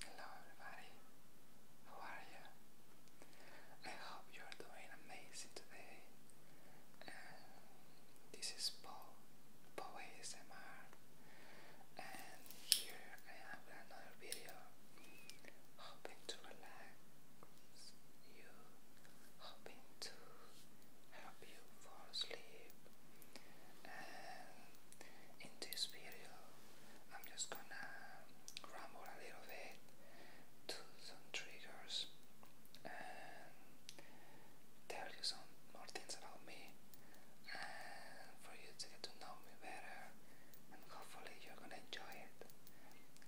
Hello everybody, how are you? I hope you are doing amazing today. this is Paul, Paul ASMR, and here I am with another video, hoping to relax you, hoping to help you fall asleep in this video I'm just gonna ramble a little bit to some triggers and tell you some more things about me and for you to get to know me better and hopefully you're gonna enjoy it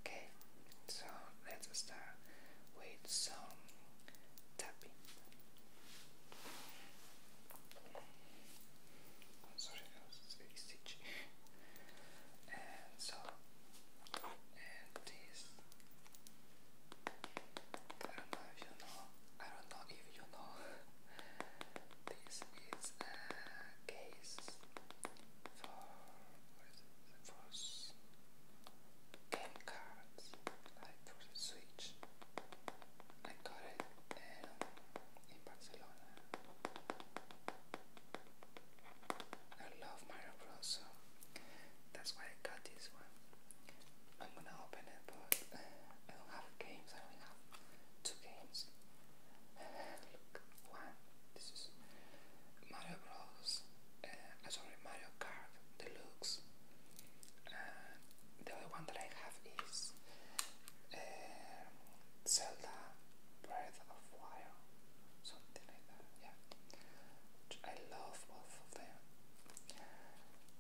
okay so let's start with some tapping i so, and this, I don't know if you know, I don't know if you know, this is a case for, for game cards, like for the Switch. I got it um, in Barcelona. I love Mario Bros, so that's why I got this one. I'm gonna open it, but I don't have games. I only have two games. look, one. This is Mario Bros. Uh, sorry, Mario Kart Deluxe. And the other one that I have is uh, Zelda Breath of Fire, something like that. Yeah, I love both of them.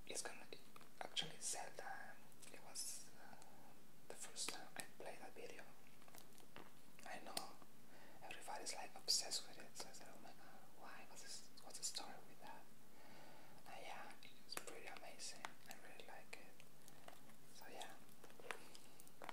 It's gonna actually Zelda. It was uh, the first time I played that video. I know everybody's like obsessed with it. So I said, "Oh my God, why? What's what's the story with that?" And yeah, it's pretty amazing. I really like it. So yeah. I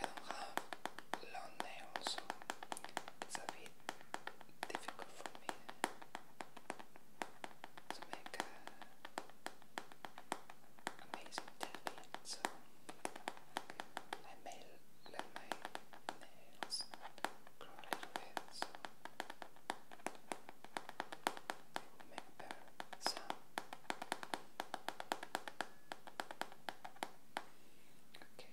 don't have long nails, so it's a bit difficult for me to make uh, amazing tapping. So I may let my nails grow a little bit, so they will make a better sound. Okay,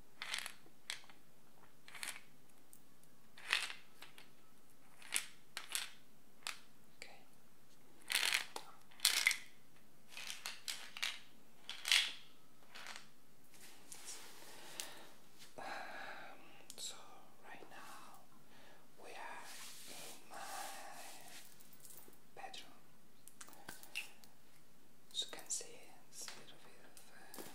Okay. Um, so right now we are in my bedroom as you can see, a little bit of, uh,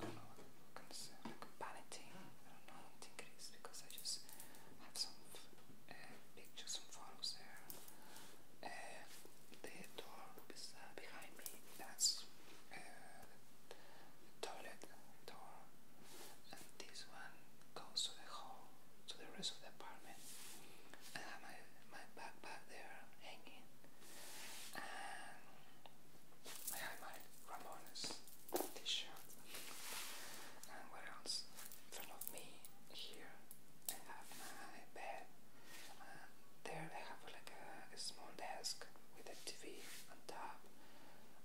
I don't know what you can say, like a paletting. I don't know, I it is because I just have some uh, pictures and photos there. Uh, the door is, behind me, that's toilet door, and this one goes to the hall, to the rest of the apartment. I have my, my backpack there hanging. I have my Ramones t-shirt. And what else? In front of me here I have my bed. there I have like a, small desk with a TV on top.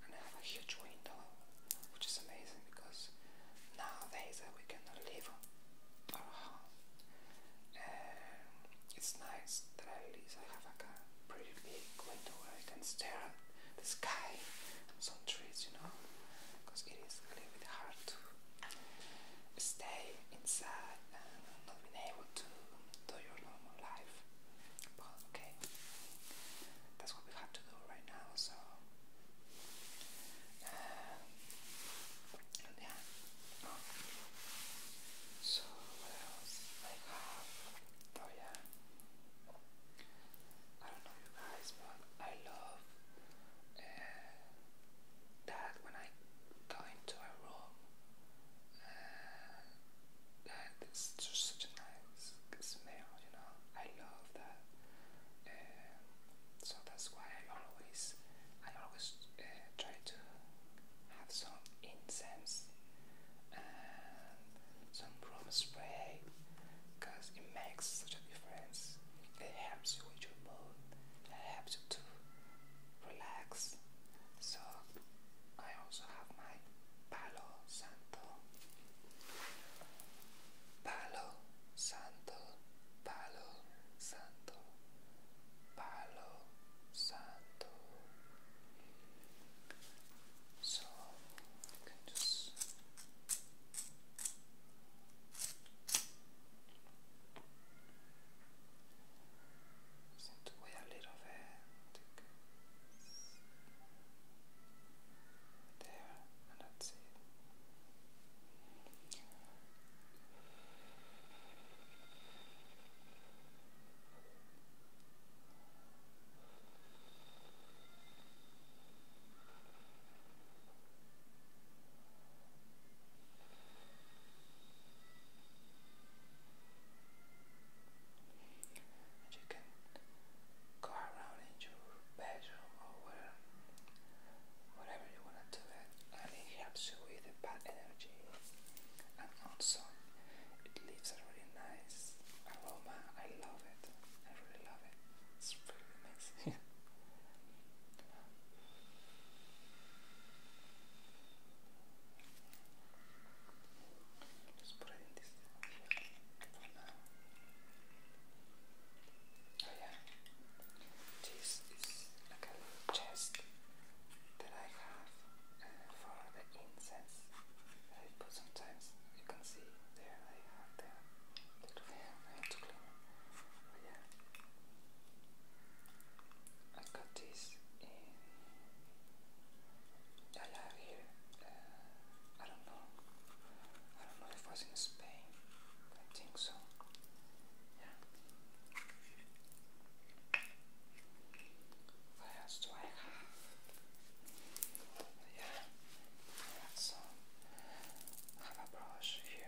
And I have a huge window, which is amazing because nowadays uh, we cannot leave our home and uh, it's nice that at least I have a pretty big window where I can stare at the sky some trees, you know, because it is a little bit hard to stay inside and not being able to do your normal life. But okay, that's what we have to do right now. So. Uh, and so what else I have? Oh yeah, I don't know you guys, but I love that when I go into a room, uh, just such a nice smell, you know. I love that. so that's why I always, I always uh, try to have some incense and some room spray because it makes such a difference. It helps you with your mood, it helps you to relax. So, I also have my Palo Santo. Palo Santo, Palo Santo, Palo Santo. So you just a little bit. There, and that's it. And you can go around in your bedroom or whatever you want to do and it helps you with the bad energy. And also, it leaves a really nice aroma. I love it. I really love it. It's really amazing. Just put it this here oh, yeah, this is like a chest that I have uh, for the incense I put sometimes. You can see there I have the little hair to clean. yeah, I got this in. I have here. Uh, I don't know. I don't know if it was in Spain. I think so. Yeah. What else do I have? Yeah, let's um, have a brush here.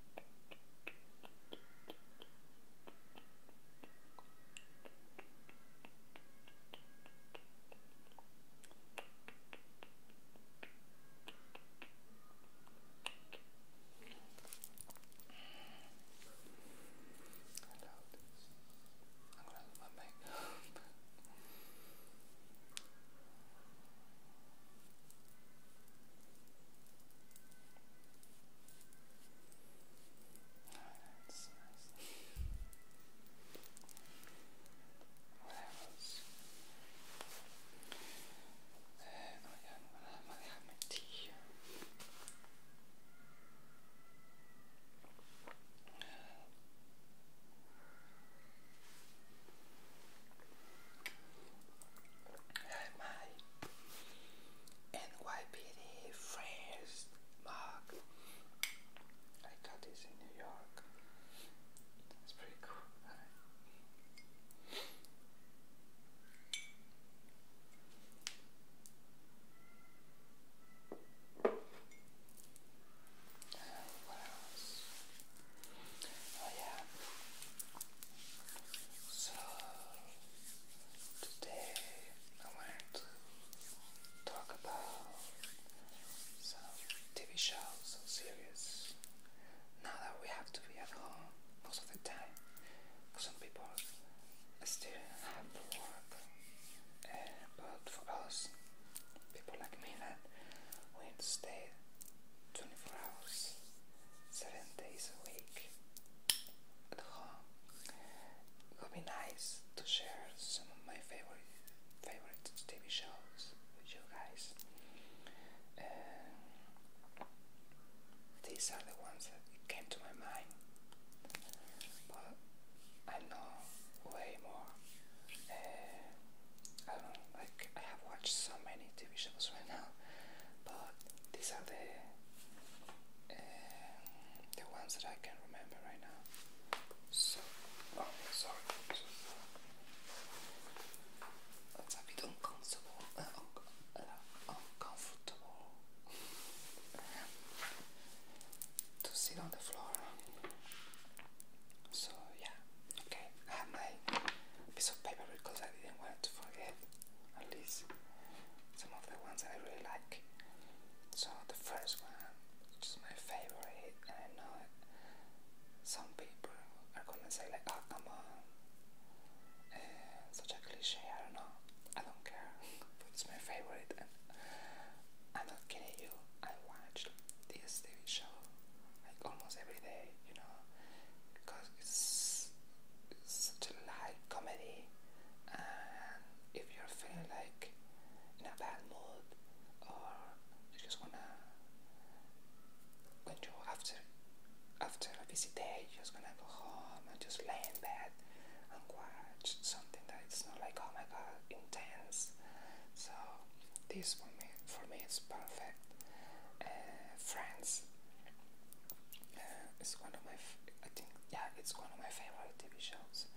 I'm gonna lose my makeup. That's nice. oh yeah, I have my tea here. Uh, I NYPD Friends mug. I got this in New York. That's pretty cool. Right? Uh, what else? Oh yeah, so today I wanted to talk about some TV shows and series. Now that we have to be at home most of the time, some people still have to work, uh, but for us, people like me, that we stay 24 hours seven days a week at home. It would be nice to share some of my favorite favorite TV shows with you guys. these are the ones that came to my mind, but I know way more. Uh, I don't like I have watched so many TV shows right now, but these are the um, the ones that I can remember right now. So, oh, sorry. That's a bit uncomfortable. Uh, uh uncomfortable to sit on the floor. So yeah, okay. I have my piece of paper because I didn't want to forget at least some of the ones I really like. So the first one, which is my favorite, and I know it, some people are gonna say like, "Oh, come on, uh, such a cliche." I don't know. I don't care, but it's my favorite, and I'm not kidding you. I watch this TV show like almost every day, you know, because it's such a light comedy and if you're feeling like in a bad mood or you just wanna when you after after a busy day you're just gonna go home and just lay in bed and watch something that is not like oh my god intense so this for me for me is perfect uh, friends uh, it's one of my, I think, yeah, it's one of my favorite TV shows.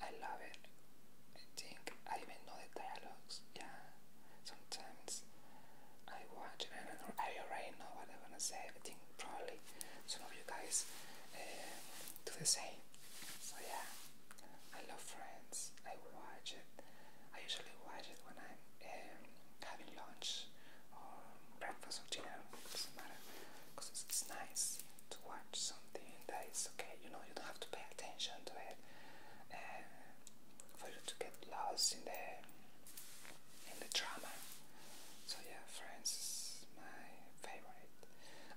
I love it. I think I even know the dialogues. Yeah, sometimes I watch and I already know what I'm gonna say. I think probably some of you guys uh, do the same. So yeah, I love Friends. I watch it. I usually watch it when I'm um, having lunch or um, breakfast or dinner, doesn't matter because it's, nice to watch something that is okay, you know, you don't have to pay attention to it uh, for you to get lost in the in the drama. So yeah, Friends is my favorite.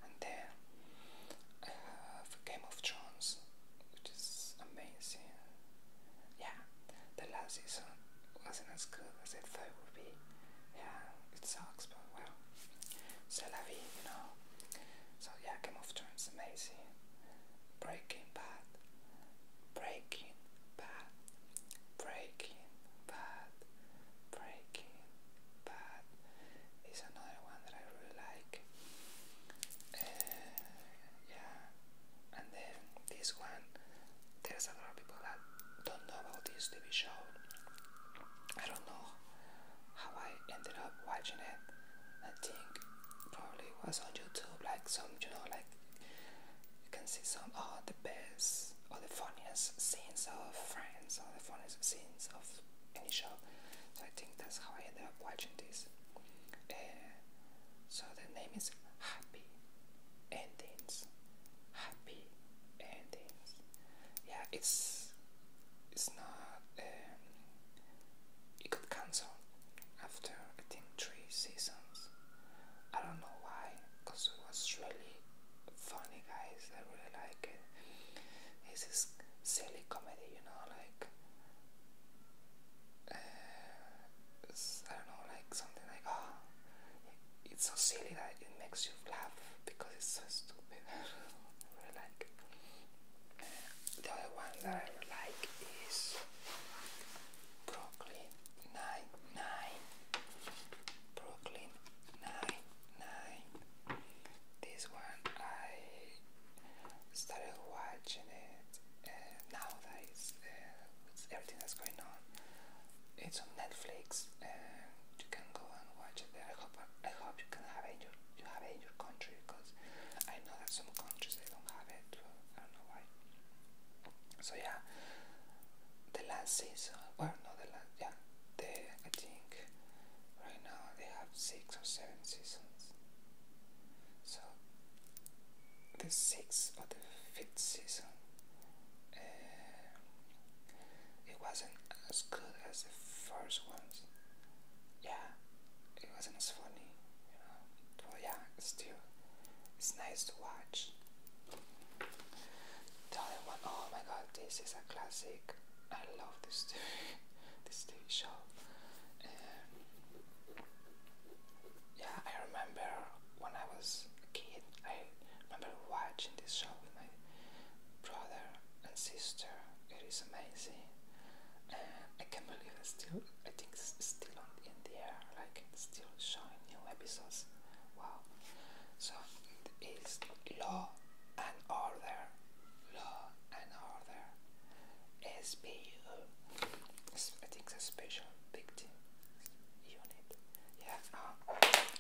And then I uh, have Game of Thrones, which is amazing yeah, the last season wasn't as good as I thought it would be. Yeah, it sucks, but well, c'est la vie, you know. So yeah, Game of Thrones amazing. Breaking Bad, Breaking Bad, Breaking Bad, Breaking Bad is another one that I really like. Uh, yeah, and then this one there's a lot of people that don't know about this TV show. I don't know how I ended up watching it. I think probably was on YouTube, like some, you know, like you can see some oh, the best or the funniest scenes of Friends or the funniest scenes of any show. So I think that's how I ended up watching this. So the name is Happy Endings. Happy Endings. Yeah, it's it's not. Um, it got cancelled after I think three seasons. I don't know why, cause it was really funny, guys. I really like it. It's this silly comedy, you know, like uh, I don't know, like something like, oh, it's so silly that it makes you laugh because it's so stupid. really like. The other one that I like is Brooklyn Nine Nine. Brooklyn Nine Nine. This one I started watching it uh, nowadays uh, everything that's going on. It's on Netflix, and uh, you can go and watch it there. I hope I hope you can have it in your you have it in your country because I know that some countries they don't have it. I don't know why. So yeah, the last season. Well, no, the last yeah. The I think right now they have six or seven seasons. So the sixth or the fifth season, uh, it wasn't as good as the first ones. Yeah, it wasn't as funny, you yeah, it's still, it's nice to watch. The other one, oh my god, this is a classic. I love this TV, show. Um, yeah, I remember when I was a kid, I remember watching this show with my brother and sister. It is amazing. Uh, I can't believe it's still, I think it's still on, in the air, like it's still showing new episodes. Wow. So it is Law and Order. Law and Order. S B U. I think it's a special victim unit. Yeah. Uh,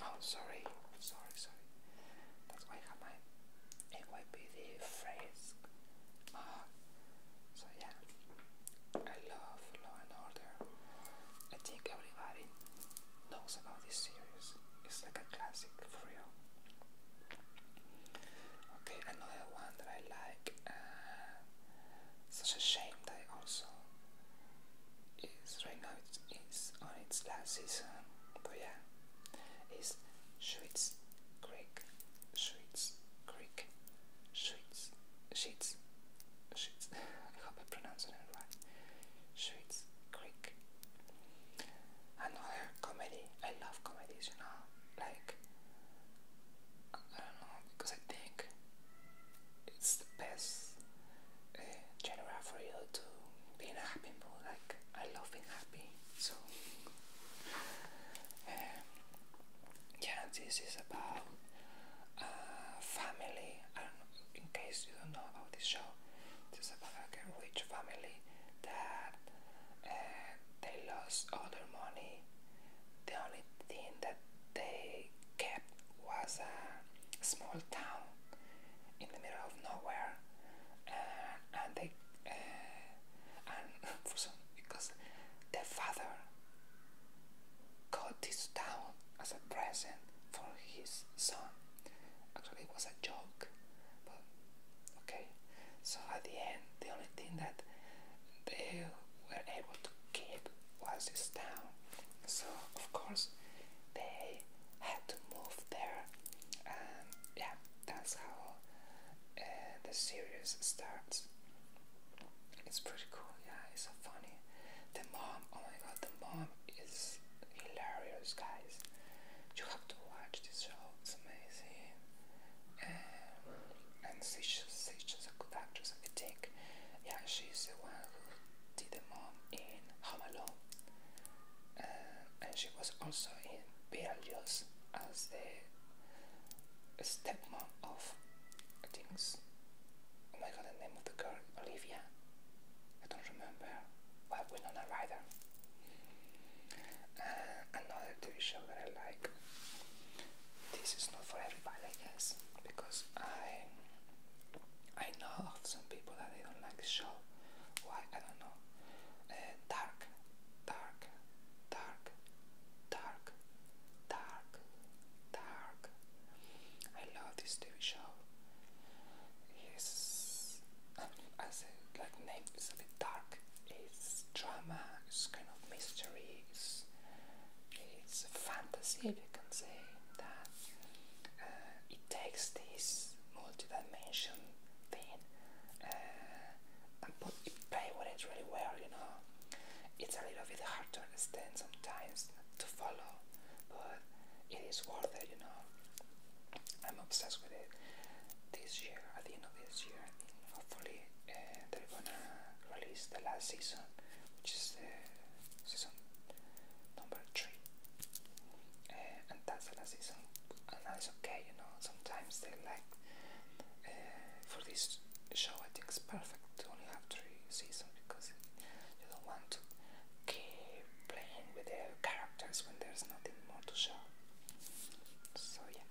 oh, sorry, sorry, sorry. That's why I have my NYPD phrase. Uh, so yeah, I love Law and Order. I think everybody knows about this series. It's like a classic for real. Okay, another one that I like. Uh, such a shame that it also is right now it's, it's on its last season. But yeah, it's Schwitz Creek, Schwitz Creek, Schwitz, Sheets, Sheets. I hope I pronounced it right. Schwitz Creek. Another comedy. I love comedies, you know, like I don't know because I think it's the best uh, genre for you to be in a happy mood. Like I love being happy, so um, yeah, this is about uh, family. I don't know in case you don't know about this show. This about a rich family that uh, they lost all their money. The only thing that they kept was a small town in the middle of nowhere, uh, and they uh, and for some because the father got this town as a present for his son. Actually, it was a joke, but okay. So at the end, the only thing that they were able to keep was this So of course they had to move there, and yeah, that's how uh, the series starts. It's pretty cool, yeah. It's so funny. The mom, oh my god, the mom is hilarious, guys. You have to watch this show. It's amazing and she's, she's just a good actress, I think. Yeah, she's the one who did the mom in Home Alone, uh, and she was also in Beetlejuice as the stepmom of, things. oh my god, the name of the girl, Olivia. I don't remember. Well, don't Ryder. Uh, another TV show that I like this is not for everybody, I guess, because I I know of some people that they don't like the show. Why? I don't know. Eh, dark, dark, dark, dark, dark, dark. I love this TV show. It's I like name is a bit dark. It's drama. It's kind of mysteries it's a fantasy, if you can say, that uh, it takes this multi-dimension thing uh, and put it play with it really well, you know. It's a little bit hard to understand sometimes, to follow, but it is worth it, you know. I'm obsessed with it. This year, at the end of this year, hopefully Eh, they're gonna release the last season, which is the season number three, eh, and that's the last season, and that's okay, you know. Sometimes they like eh, for this show, I think it's perfect to only have three seasons because you don't want to keep playing with the characters when there's nothing more to show. So yeah.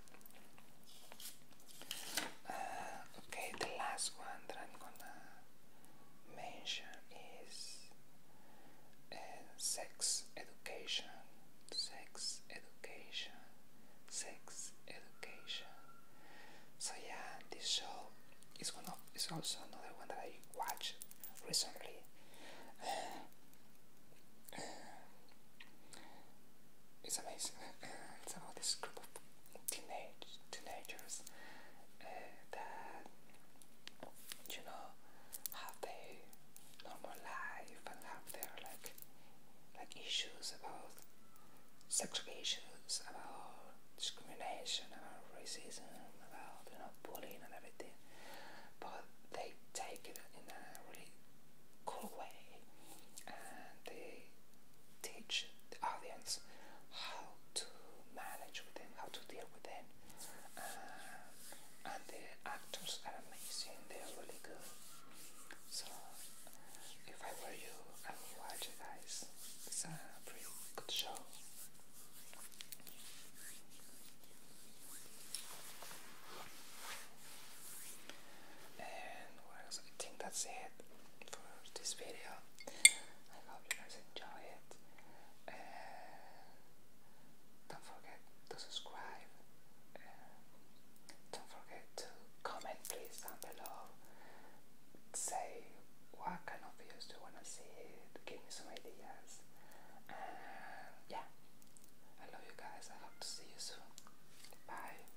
Uh, okay, the last one that I'm gonna mention is uh, sex education, sex education, sex education. So yeah, this show is one of is also another one that I watched recently. Uh, it's amazing. Uh, and somehow this group of teenage teenagers uh, that you know have their normal life and have their like like issues about sexual issues, about discrimination, about racism, about you know bullying and everything, but they take it in a really cool way and they teach the audience how to manage with them, how to deal with them. Uh, and the actors are amazing, they are really good. So, if I were you, I would watch it, guys. It's a pretty good show. And I think that's it it for this video. I hope you guys enjoy it. Uh, don't forget to subscribe. Uh, don't forget to comment, please, down below. Say what kind of videos do you want to see. Give me some ideas. And yeah, I love you guys. I hope to see you soon. Bye.